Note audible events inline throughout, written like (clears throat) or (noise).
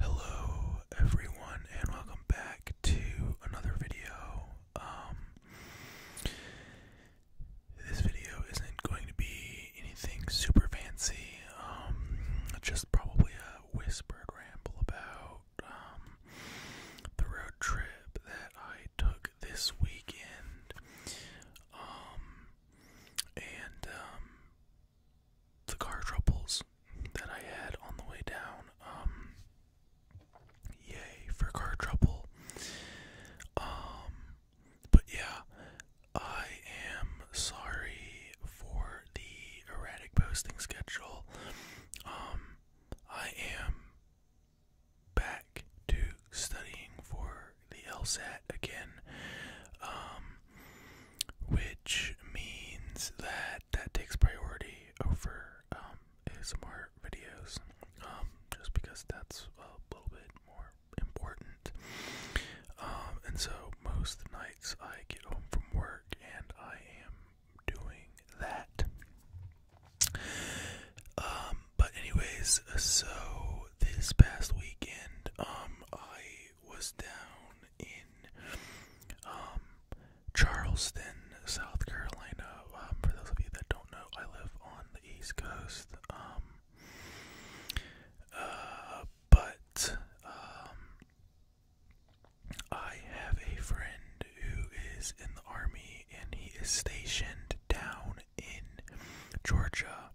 Hello everyone and welcome back to another video. Um, this video isn't going to be anything super fancy. Um, just probably a whisper ramble about um, the road trip that I took this weekend. and the car troubles that I had on the way down. Um, yay for car trouble. Um, but yeah, I am sorry for the erratic posting schedule. Um, I am back to studying for the LSAT again which means that that takes priority over um, more videos, um, just because that's a little bit more important. Um, and so most nights I get home from work and I am doing that. Um, but anyways, so this past weekend, um, I was down in um, Charleston, South Carolina. Um, for those of you that don't know, I live on the East Coast. Um, uh, but I have a friend who is in the army, and he is stationed down in Georgia.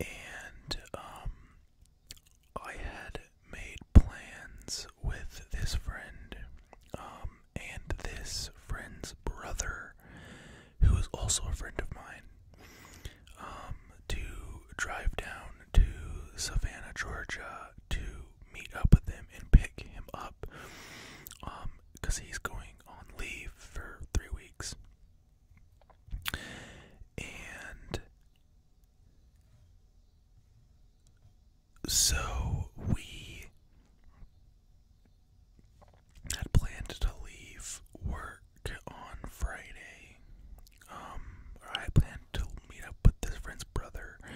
And I had made plans with this friend um, and this friend's brother, who is also a friend of mine, um, to drive down to Savannah, Georgia to meet up with him and pick him up because um, he's going on leave for three weeks. And so we had planned to leave work on Friday. or um, I planned to meet up with this friend's brother, and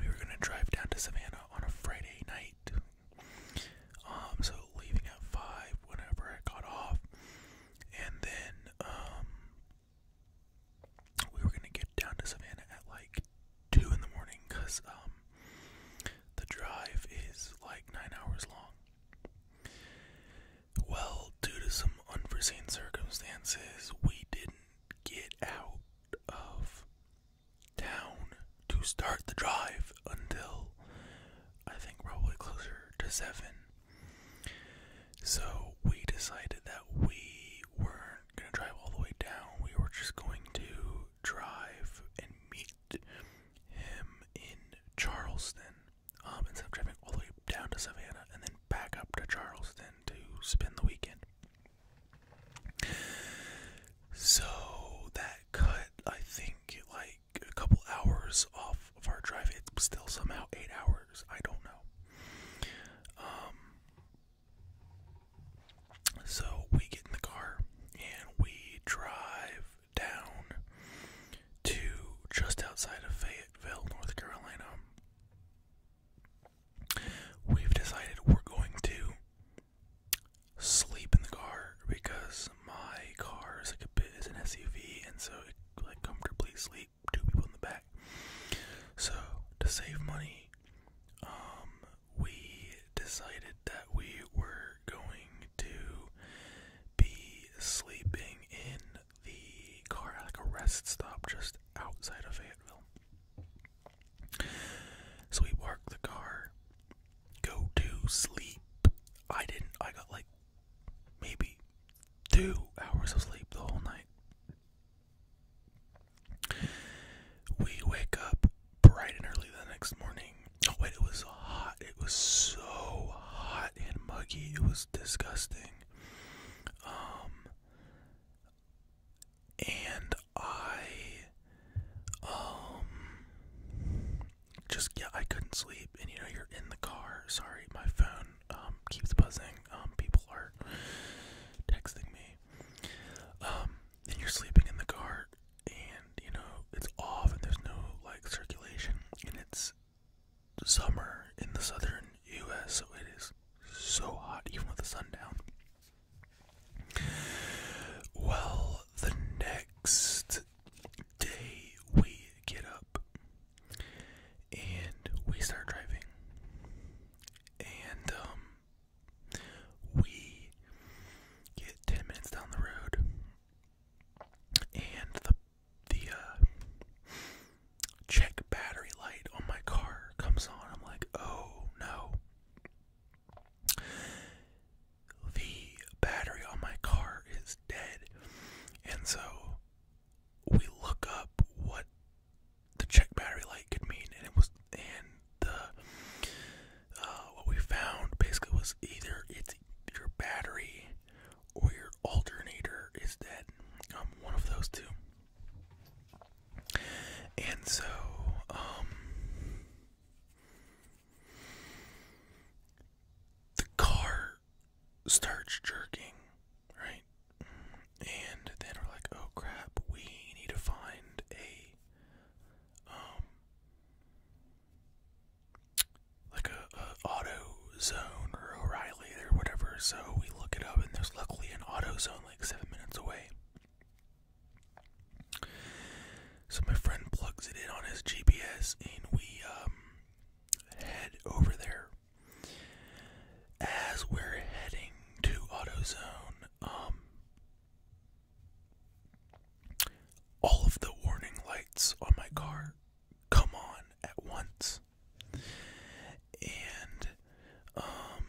we were gonna drive down to Savannah on a Friday night. Um, so leaving at five, whenever I got off, and then um, we were gonna get down to Savannah at like two in the morning because um, the drive is like nine hours long. Well, due to some unforeseen circumstances, we didn't get out of town to start the drive until I think probably closer to seven. So we decided that we weren't going to drive all the way down. We were just going to drive and meet him in Charleston um, instead of driving all the way down to Savannah and then back up to Charleston to spend the weekend. So that cut, I think, like a couple hours off of our drive. It's still somehow eight hours. I don't know. Um, so we get in the car and we drive down to just outside of Fayetteville, North Carolina. We've decided we're going to sleep in the car because my car is like a bit is an SUV and so it like comfortably sleep two people in the back. So to save money, um, we decided that we were going to be sleeping in the car like a rest stop just outside of Fayetteville. So we parked the car, go to sleep. I didn't. I got like maybe two hours of sleep the whole night. We wake up bright and early the next morning. Oh, wait, it was hot. It was so hot and muggy. It was disgusting. Um, and I, um, just, yeah, I couldn't sleep. And you know, you're in the car. Sorry, my phone um, keeps buzzing. Um, people are texting me. Um, you're sleeping in the car, and you know it's off, and there's no like circulation, and it's summer in the southern U.S., so it is so hot, even with the sun down. Well, the next day we get up and we start driving. And um, we get 10 minutes down the road and the the uh check battery light on my car comes on. I'm like, "Oh no." The battery on my car is dead. And so we look up what the check battery light could mean, and it was and the uh, what we found basically was either it's your battery or your alternator is dead, um, one of those two. And so, um, the car starts jerking, right? And then we're like, oh crap, we need to find a um, like a, a or O'Reilly or whatever. So we look it up and there's luckily an auto like seven minutes away. So my friend plugs it in on his GPS and we um, head over there as we're heading to AutoZone, um, all of the warning lights on my car come on at once. And, um,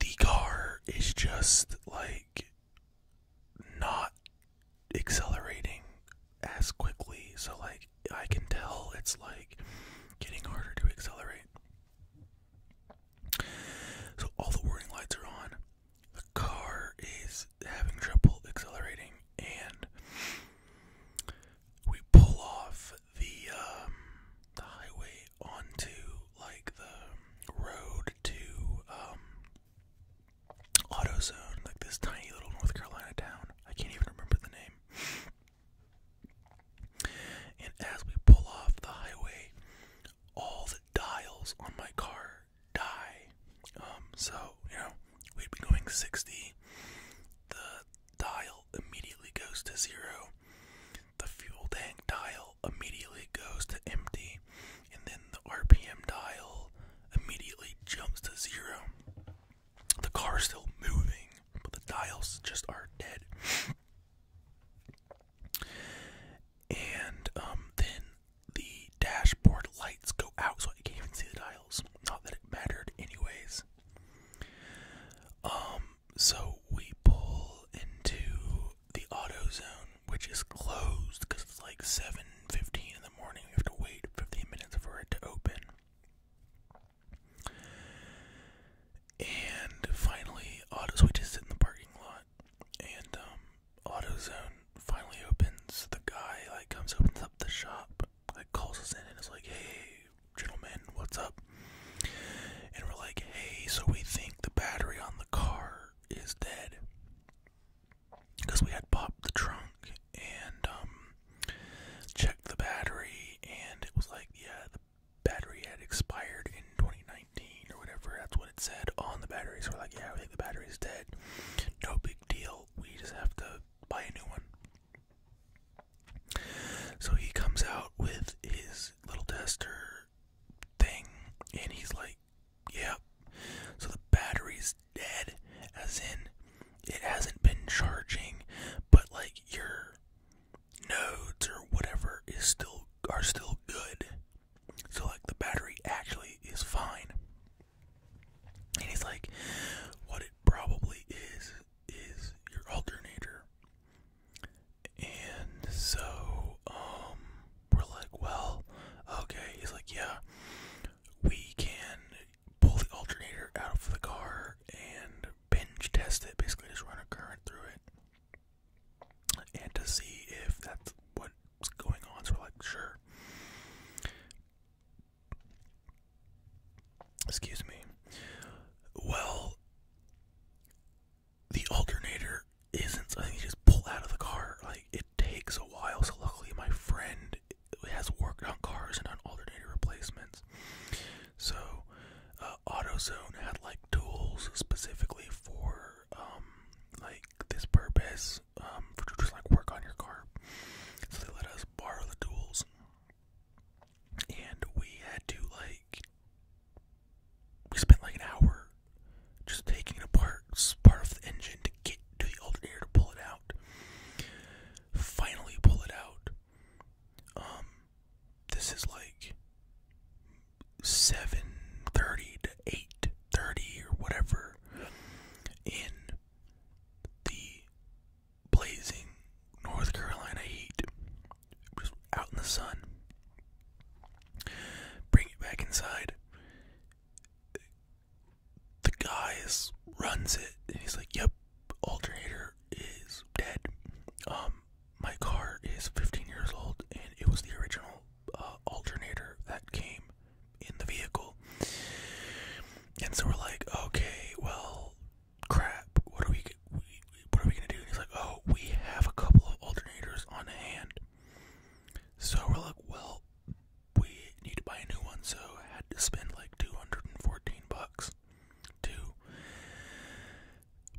the car is just like not accelerating as quickly. So, like, I can tell it's like getting harder to accelerate. So, all the warning lights are on. The car is having trouble accelerating, and we pull off the um, the highway onto like the road to um, AutoZone, like this tiny little North Carolina town. I can't even remember the name. And as we pull off the highway, all the dials on my car die. Um, so, you know, we'd be going 60. The dial immediately goes to zero. The fuel tank dial immediately goes to empty and then the RPM dial immediately jumps to zero. The car's still moving, but the dials just are dead. and um, then the dashboard lights go out, so I can't even see the dials. Not that it mattered, anyways. Um, so we pull into the auto zone which is closed because it's like 7.15 in the morning. We have to wait 15 minutes for it to open. And finally, autos. We just sit in the parking lot, and um, AutoZone finally opens. The guy like comes, opens up the shop, like calls us in, and is like, "Hey, gentlemen, what's up?" And we're like, "Hey, so we think the battery on the car is dead because we had popped the trunk and um, checked the battery, and it was like, yeah, the battery had expired in 2019 or whatever. That's what it said on the battery. So we're like, yeah, we think the battery's dead. No big deal. We just have to buy a new one. So he comes out with his little tester thing, and he's like, Yep. So the battery's dead, as in it hasn't been charging, but like your nodes or whatever is still are still good. So like the battery actually is fine. And he's like, what it probably is is your alternator. And so, um we're like, well, okay. He's like, yeah, we can pull the alternator out of the car and binge test it, basically just run a current through it, and to see if that's what's going on. So we're like, sure. Excuse me. Well, the alternator isn't something you just pull out of the car. Like it takes a while. So luckily, my friend has worked on cars and on alternator replacements. So uh, AutoZone had like tools specifically for um, like this purpose um, for to just like work on your car. So they let us borrow the tools, and we had to like we spent like an hour just taking it apart, part of the engine to get to the alternator to pull it out. Finally, pull it out. Um, this is like seven thirty to eight thirty or whatever in the blazing North Carolina heat, just out in the sun. Bring it back inside the guy runs it, and he's like, "Yep, alternator is dead. Um, my car is 15 years old, and it was the original uh, alternator that came in the vehicle." And so we're like, "Okay, well, crap. What are we? What are we gonna do?" And he's like, "Oh, we have a couple of alternators on hand." So we're like, well, we need to buy a new one, so I had to spend like 214 bucks to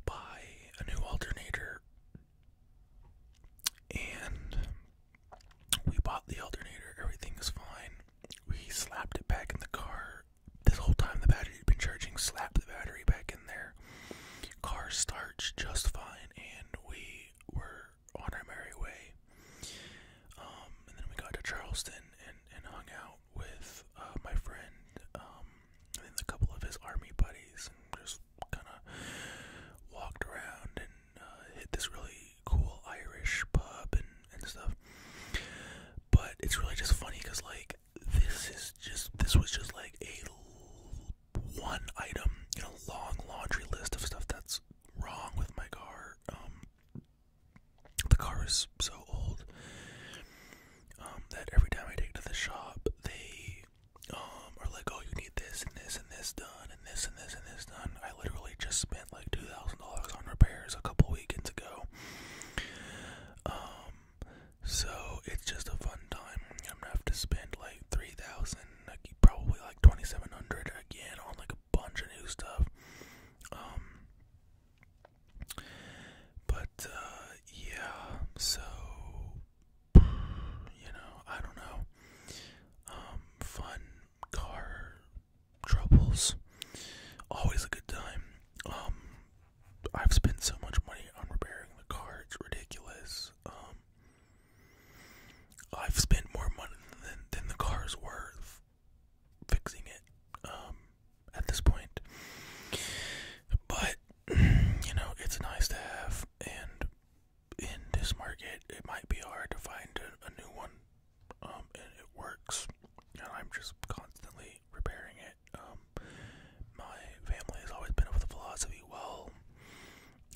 buy a new alternator. And we bought the alternator, everything is fine. We slapped it back in the car. This whole time the battery had been charging, slapped the battery back in there. Car starts just fine, and we we were on our merry way. Um, and then we got to Charleston and, and hung out with uh, my friend um, and then a couple of his army buddies and just kind of walked around and uh, hit this really cool Irish pub and, and stuff. But it's really just funny because, like, this is just, this was just like a one item in a long laundry list of stuff that's wrong with my car. Um, the car is so old um, that every time I take it to the shop, they um, are like, "Oh, you need this and this and this done and this and this and this done." I literally just spent like two thousand dollars on repairs a couple weekends ago. Um, so it's just a fun time. I'm gonna have to spend like three thousand probably like 2700 again on like a bunch of new stuff. Um, but uh, yeah, so you know, I don't know. Um, fun car troubles, always a good time. Um, I've spent so much money on repairing the car; it's ridiculous. I've spent more money than than the car's worth fixing it um, at this point. But (clears throat) you know, it's nice to have, and in this market, it might be hard to find a, new one. Um, and it works, and I'm just constantly repairing it. Um. my family has always been of the philosophy: well,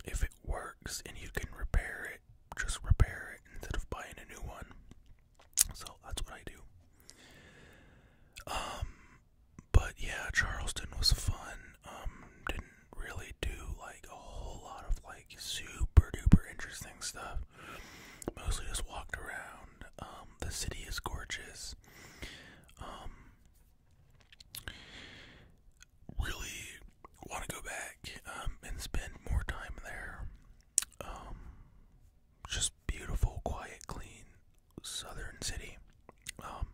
if it works and you can repair it, just repair it instead of buying a new one. So that's what I do. Um, but yeah, Charleston was fun. Um, didn't really do like a whole lot of like super duper interesting stuff. Mostly just walked around. Um, the city is gorgeous really want to go back um, and spend more time there. Um, just beautiful, quiet, clean southern city. Um,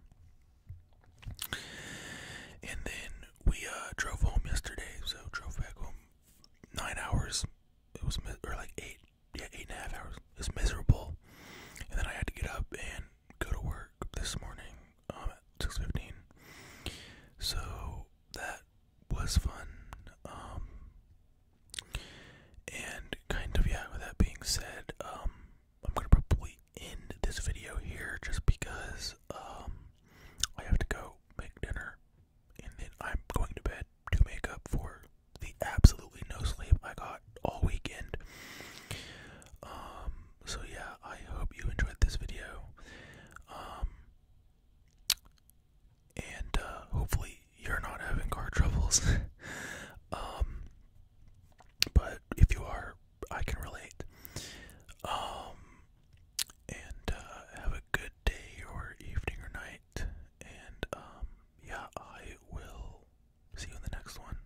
and then we uh, drove home yesterday, so drove back home nine hours. It was or like eight, yeah, eight and a half hours. It was miserable, and then I had to get up and go to work this morning um, at 6.15. So that was fun. Um, and kind of, yeah, with that being said, um, I'm going to probably end this video here just because I have to go make dinner. And then I'm going to bed to make up for the absolutely no sleep I got all weekend so yeah, I hope you enjoyed this video. Um, and uh, hopefully you're not having car troubles. (laughs) Um, but if you are, I can relate. Um, and uh, have a good day or evening or night. And yeah, I will see you in the next one.